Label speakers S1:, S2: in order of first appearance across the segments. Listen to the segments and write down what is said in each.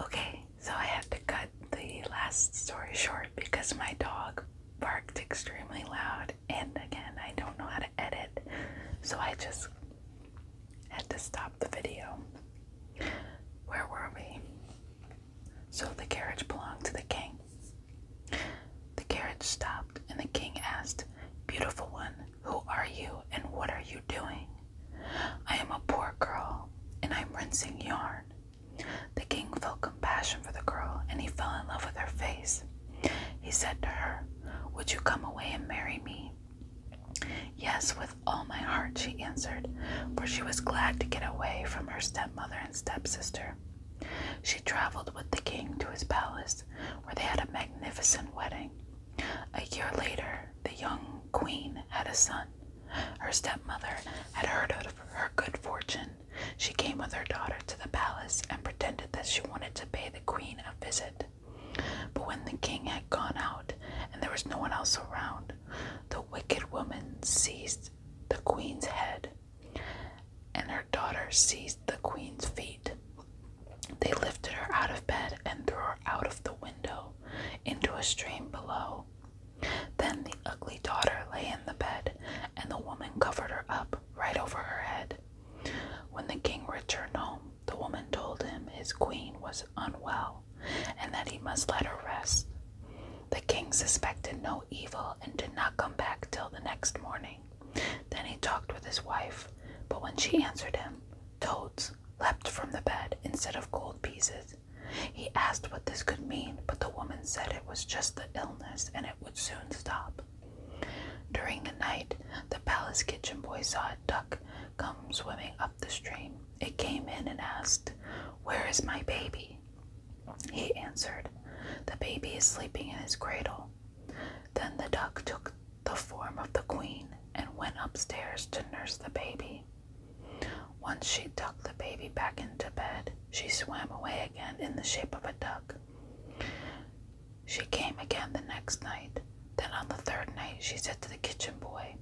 S1: Okay, so I had to cut the last story short because my dog barked extremely loud, and again, I don't know how to edit, so I just had to stop the video. Where were we? So the carriage belonged to the king. The carriage stopped, and the king asked, Beautiful one, who are you and what are you doing? I am a poor girl, and I am rinsing yarn. The king felt compassion for the girl, and he fell in love with her face. He said to her, Would you come away and marry me? Yes, with all my heart, she answered, for she was glad to get away from her stepmother and stepsister. She traveled with the king to his palace where they had a magnificent wedding. A year later, the young queen had a son. Her stepmother had heard of her good fortune. She came with her daughter to the palace and pretended that she wanted to pay the queen a visit. But when the king had gone out and there was no one else around, the wicked woman seized the queen's head and her daughter seized the queen's feet. They lifted her out of bed and threw her out of the window into a stream below. Then the ugly daughter lay in the bed, and the woman covered her up right over her head. When the king returned home, the woman told him his queen was unwell and that he must let her rest. The king suspected no evil and did not come back till the next morning. Then he talked with his wife, but when she answered him, toads leaped from the bed instead of gold pieces. He asked what this could mean, but the woman said it was just the illness and it would soon stop. During the night, the palace kitchen boy saw a duck come swimming up the stream. It came in and asked, Where is my baby? He answered, The baby is sleeping in his cradle. Then the duck took the form of the queen and went upstairs to nurse the baby. Once she tucked the baby back into bed, she swam away again in the shape of a duck. She came again the next night. Then on the third night, she said to the kitchen boy,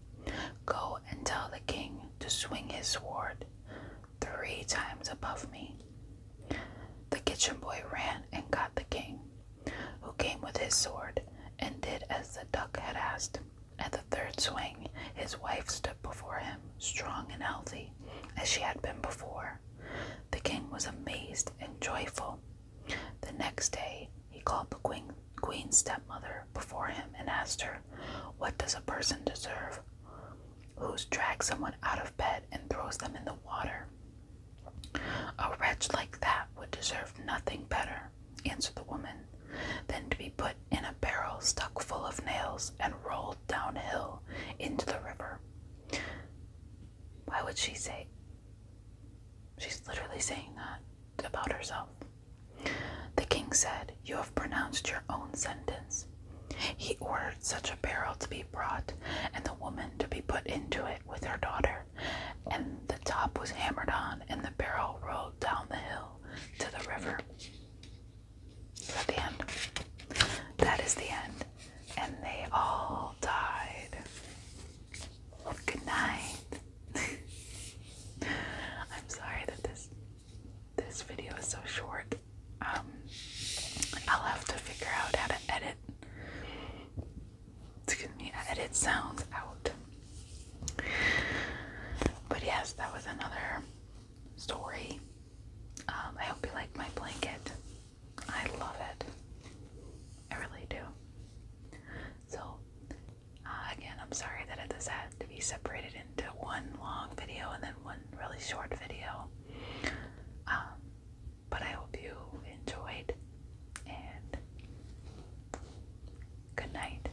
S1: Go and tell the king to swing his sword three times above me. The kitchen boy ran and got the king, who came with his sword and did as the duck had asked. At the third swing, his wife stood before him, strong and healthy, as she had been before. The king was amazed and joyful the next day, he called the queen, queen's stepmother before him and asked her, What does a person deserve who drags someone out of bed and throws them in the water? A wretch like that would deserve nothing better, answered the woman, than to be put in a barrel stuck full of nails and rolled downhill into the river. Why would she say She's literally saying that about herself. The king said, You have pronounced your own sentence. He ordered such a barrel to be brought, and the woman to be put into it with her daughter. And the top was hammered on, and the barrel rolled down the hill to the river. the end? That is the end and they all died. Good night. I'm sorry that this this video is so short. Um, I'll have to figure out how to edit. Excuse me, edit sounds out. But yes, that was another story. Um, I hope you like my blanket. I love it. I really do. So, uh, again, I'm sorry that this had to be separated into one long video and then one really short video. Um, but I hope you enjoyed, and good night.